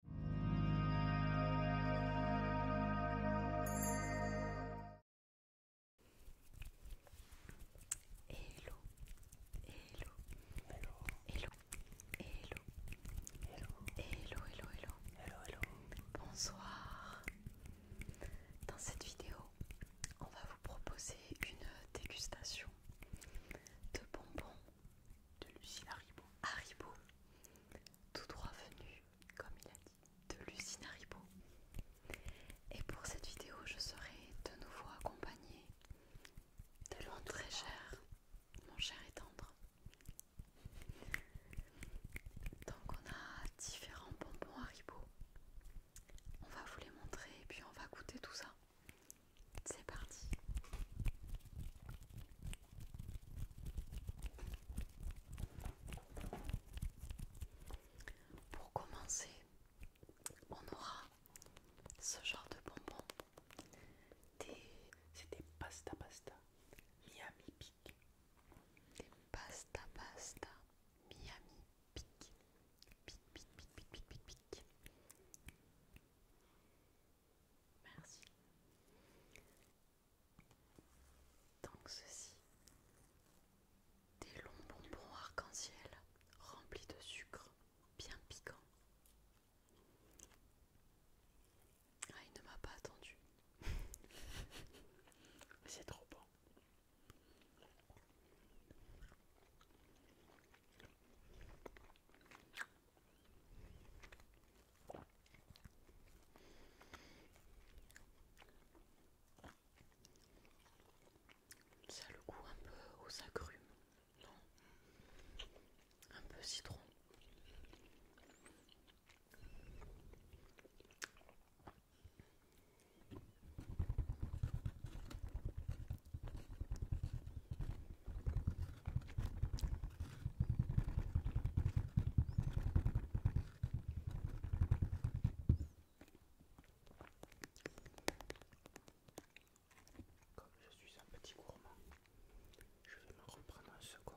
Hello, hello, hello, hello, hello, hello, hello, hello, hello, hello, Bonsoir. Dans cette vidéo, on va vous proposer une dégustation de bonbons de Lucie Haribo. Haribo tout droit venu, comme il a dit, de l'usine Haribo. Et pour cette vidéo, je serai de nouveau accompagnée de mon très cher, mon cher et tendre. Donc on a différents bonbons à Haribo. On va vous les montrer et puis on va goûter tout ça. C'est parti. Pour commencer, on aura ce genre de bonbons. C'est des pasta pasta Miami Pic. Des pasta pasta Miami Pic. Pic, pic, pic, pic, pic, pic. Merci. Donc ceci, des longs bonbons arc-en-ciel remplis de sucre, bien piquant. Ah, il ne m'a pas attendu. C'est trop bon. Ça le goût un peu aux agrumes, non Un peu citron. Comme je suis un petit gourmand, je vais me reprendre un second.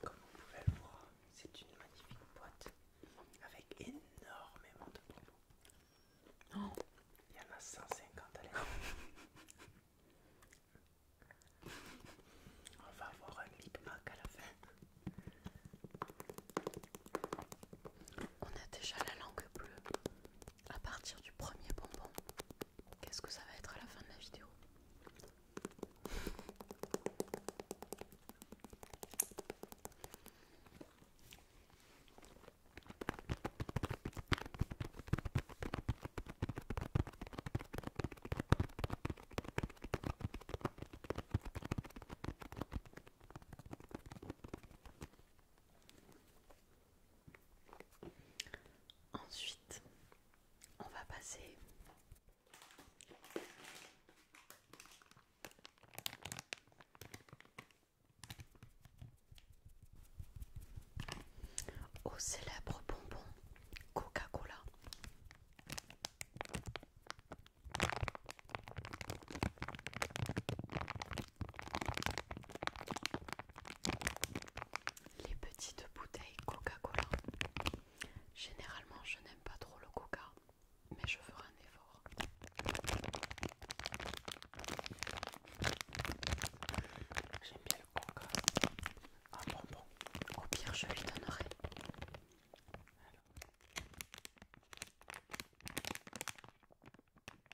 Comme vous pouvez le voir, c'est une magnifique boîte avec énormément de propos. Il y en a 150 à l'écran. On va avoir un lip à la fin. On a déjà la langue bleue à partir du premier bonbon. Qu'est-ce que ça va être à la fin de la vidéo Ensuite, on va passer au célèbre bonbon Coca-Cola. Les petites bouteilles Coca-Cola. Généralement, je n'aime pas trop le Coca, mais je ferai un effort. J'aime bien le Coca. Ah bon bon. Au pire, je lui donnerai.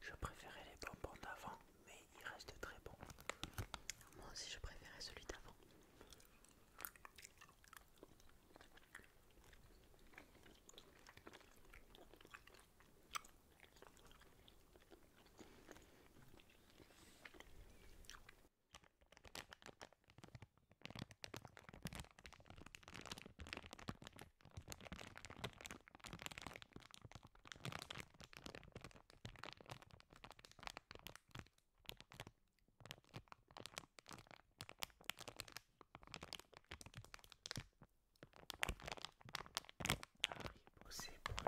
Je préférais les bonbons d'avant, mais il reste très bon. Moi aussi, je préférais celui d'avant. Haribo, pour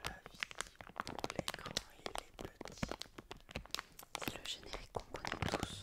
la vie, pour les grands et les petits. C'est le générique qu'on connaît tous.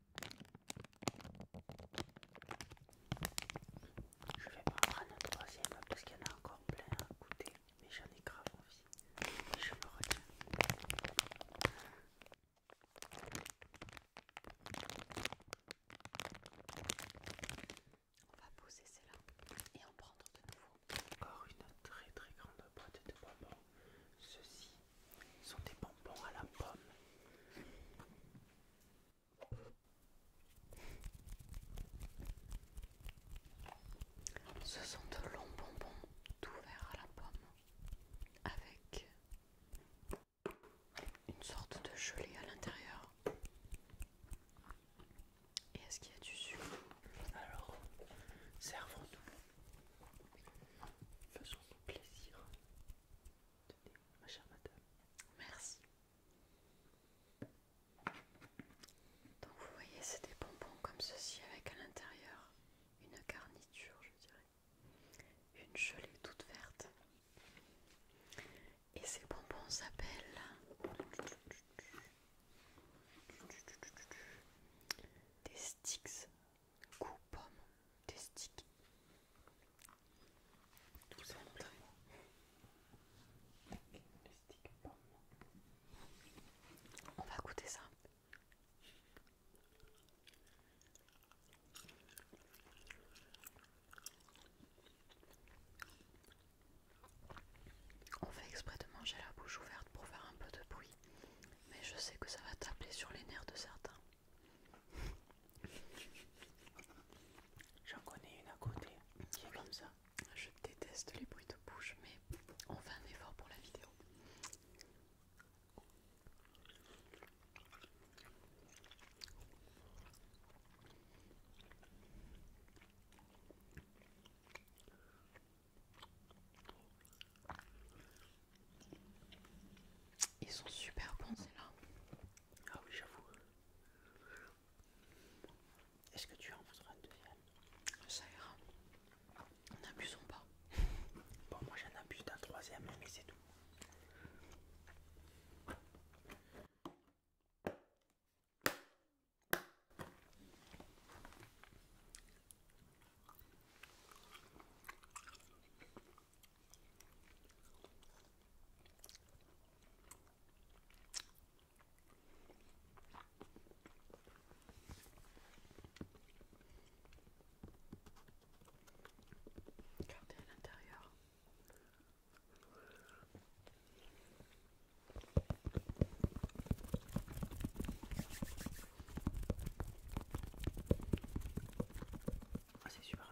Je vais prendre un troisième parce qu'il y en a encore plein à goûter, mais j'en ai grave envie. je me retiens. On va poser cela et en prendre de nouveau. Encore une très très grande boîte de bonbons. Ceux-ci sont des bonbons à la pomme. Ce sont de longs bonbons tout verts à la pomme avec une sorte de gelée à l'intérieur. Et est-ce qu'il y a du sucre Alors, servons-nous. Faisons-nous plaisir. Merci. Donc vous voyez, c'est des bonbons comme ceci avec à l'intérieur une garniture, je dirais, une gelée toute verte. Et ces bonbons s'appellent des sticks coupons. pomme des sticks. Tout simplement. On va goûter ça. On fait exprès de manger la bouche ouverte pour faire un peu de bruit, mais je sais que ça va taper sur les nerfs de certains. J'en connais une à côté qui est comme ça. Je déteste les bruits de bouche, mais on fait un effort pour la vidéo. Ils sont super bons ceux-là. Ah oui, j'avoue. Est-ce que tu en voudras un deuxième Ça ira. N'abusons pas. Bon, moi j'en abuse d'un troisième, mais c'est tout. Regardez à l'intérieur. Ah, c'est super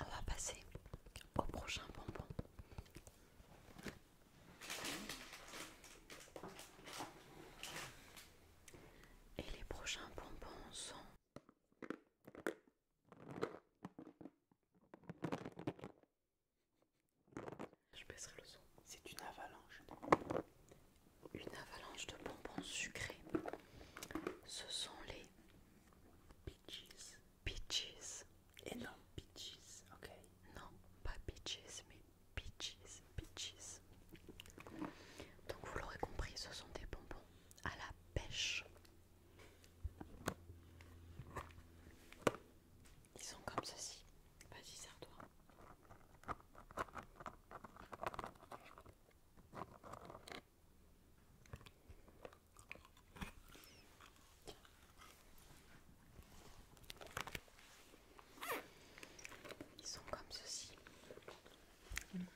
On va passer au prochain bonbon. Et les prochains bonbons sont je baisserai le son. C'est une avalanche. Une avalanche de bonbons sucrés. Ce sont les peaches. Peaches. Et non peaches, ok. Non, pas peaches, mais peaches, peaches. Donc vous l'aurez compris, ce sont des bonbons à la pêche. Ils sont comme ceci. Vas-y, serre-toi. Ils sont comme ceci.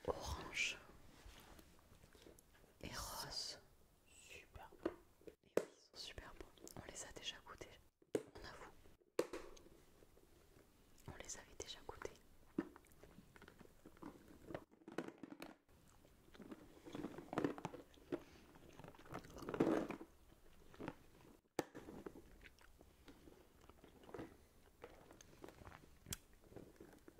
Orange et rose. Super bon. On les a déjà goûtés, on avoue. On les avait déjà goûtés.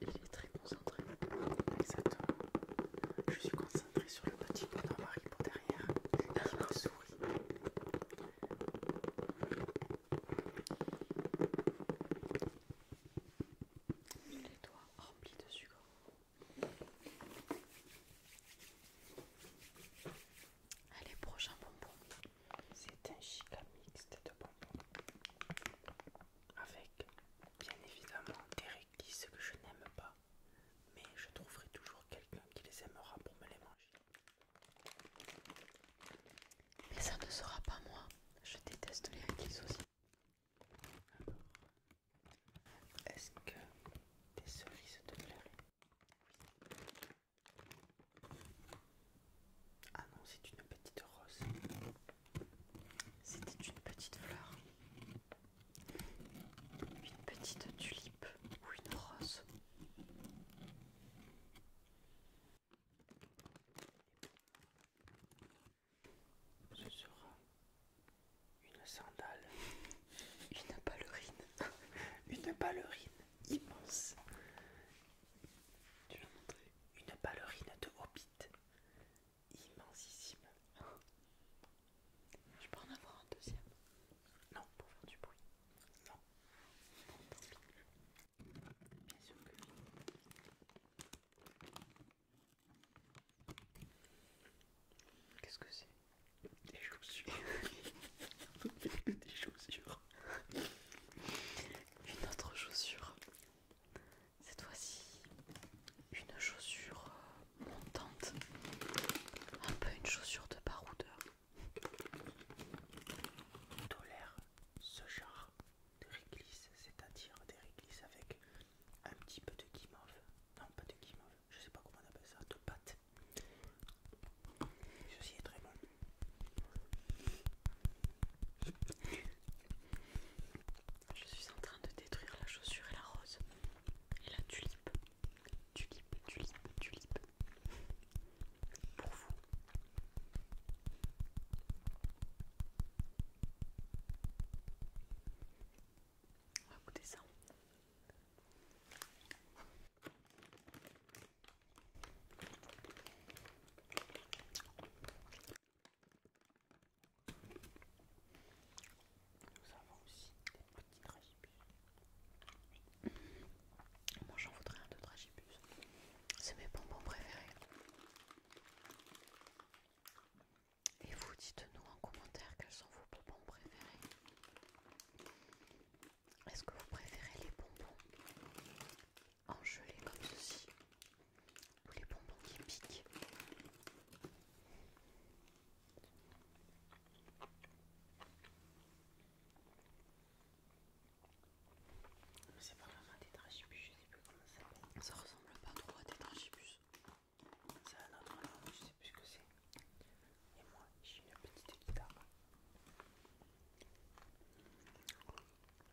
Il est très concentré. Je suis concentrée sur le petit bonhomme mari pour derrière qui me sourit. Les doigts remplis de sucre. Allez, prochain bonbon. C'est un chica mixte de bonbons. Avec, bien évidemment, des ce que je n'aime pas, mais je trouverai toujours quelqu'un qui les aimera pour me les manger. Mais ça ne sera pas moi, je déteste les réglisse aussi. est-ce que des cerises te plairaient Ah non, c'est une petite rose. C'était une petite fleur, une petite tulipe ou une rose. Ce sera une sandale, une ballerine, une ballerine immense. Tu l'as montré Une ballerine de Hobbit immensissime. Je peux en avoir un deuxième Non, pour faire du bruit. Non. tant Bien sûr que oui. Qu'est-ce que c'est Des chaussures. Des chaussures. Une autre chaussure. Cette fois-ci, une chaussure euh, montante, un peu une chaussure de baroudeur. Tolère ce genre de réglisse, c'est-à-dire des réglisses avec un petit peu de guimauve, non pas de guimauve, je sais pas comment on appelle ça, de pâte. Ceci est très bon. Je suis en train de détruire la chaussure et la rose. Et la tulipe. Tulipe, tulipe, tulipe. Pour vous. On va ça. Nous avons aussi des petits dragibus, Moi j'en voudrais un de dragibus C'est mes bonbons préférés. Et vous dites-nous en commentaire quels sont vos bonbons préférés. Est-ce que vous préférez les bonbons en gelée comme ceci tous les bonbons qui piquent. C'est pas vraiment un tétrachibus, je sais plus comment ça Ça ressemble pas trop à tétrachibus. C'est un autre nom, je sais plus ce que c'est. Et moi, j'ai une petite guitare.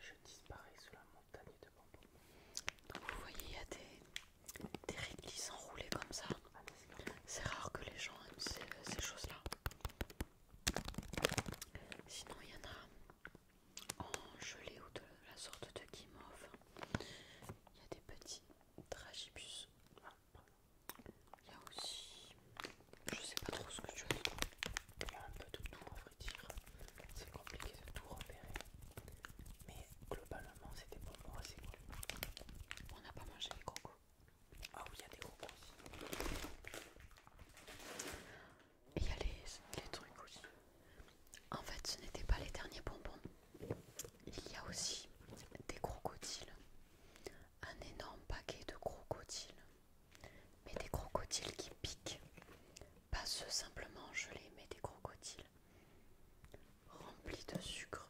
Je disparais sous la montagne de bambou. Donc vous voyez, il y a des, des enroulés enroulées comme ça. Ah, c'est rare que les gens aiment ces, choses-là. Sinon, il y en a en gelée ou de la sorte de guimauve. Il y a des petits tragibus. Ah, il y a aussi. Je sais pas trop ce que tu as dit, Il y a un peu de tout à vrai dire. C'est compliqué de tout repérer. Mais globalement, c'était des bonbons assez cool. On n'a pas mangé les crocos. Ah oui, il y a des crocos aussi. Et il y a les, les trucs aussi. En fait, ce n'était pas les derniers bonbons. Il y a aussi des crocodiles. Un énorme paquet de crocodiles. Mais des crocodiles qui piquent. Pas ceux simplement gelés, mais des crocodiles remplis de sucre.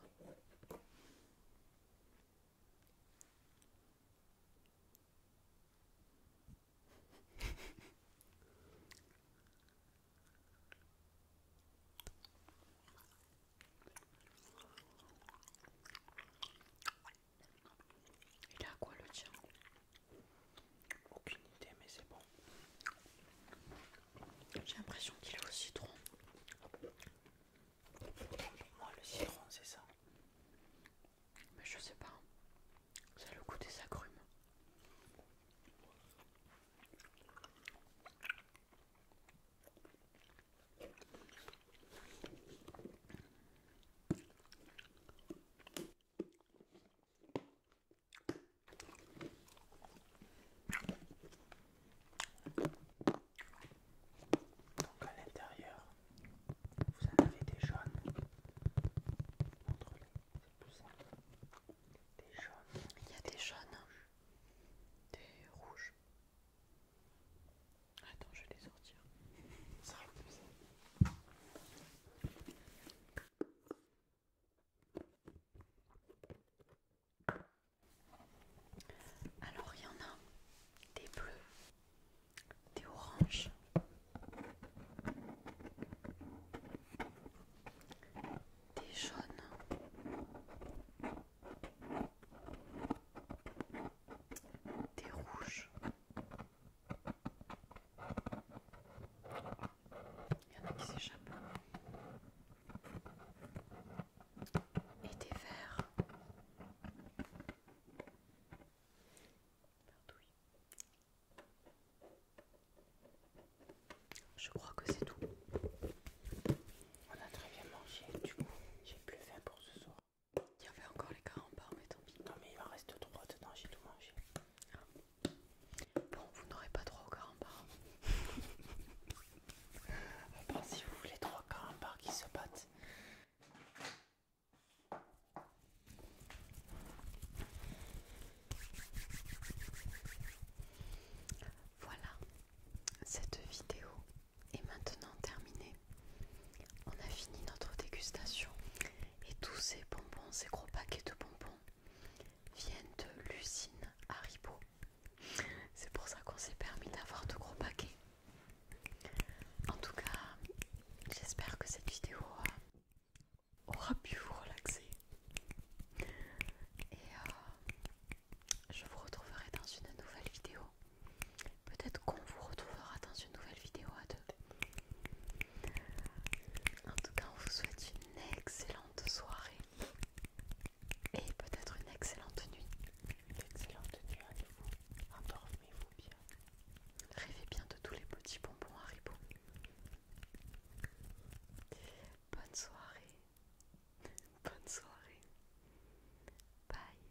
Il a à quoi le tien Aucune idée, mais c'est bon. J'ai l'impression qu'il est au citron. Moi, le citron, c'est ça. Mais je sais pas. a le goût des agrumes. Donc à l'intérieur, vous en avez des jaunes. entre les c'est plus simple. Des jaunes. Il y a des, jaunes, des rouges. Attends, je vais les sortir. Ça va plus. Alors, il y en a des bleus, des oranges, des jaunes, des rouges. Il y en a qui s'échappent. Et des verts. Je crois que c'est tout. On a très bien mangé, du coup j'ai plus faim pour ce soir. Il y avait encore les carambars, mais tant pis. Non, mais il en reste trois dedans, j'ai tout mangé. Bon, vous n'aurez pas trop aux carambars. à part si vous voulez trois carambars qui se battent. Voilà, cette vidéo et maintenant terminé, On a fini notre dégustation et tous ces bonbons, ces gros paquets de bonbons viennent de l'usine Haribo. C'est pour ça qu'on s'est permis d'avoir de gros paquets. En tout cas, j'espère que cette vidéo aura pu vous relaxer. Et euh, je vous retrouverai dans une nouvelle vidéo. Peut-être qu'on vous retrouvera dans une nouvelle vidéo à deux. En tout cas, on vous souhaite une excellente soirée et peut-être une excellente nuit. Une excellente nuit à vous. Endormez-vous bien. Rêvez bien de tous les petits bonbons Haribo. Bonne soirée. Bonne soirée. Bye.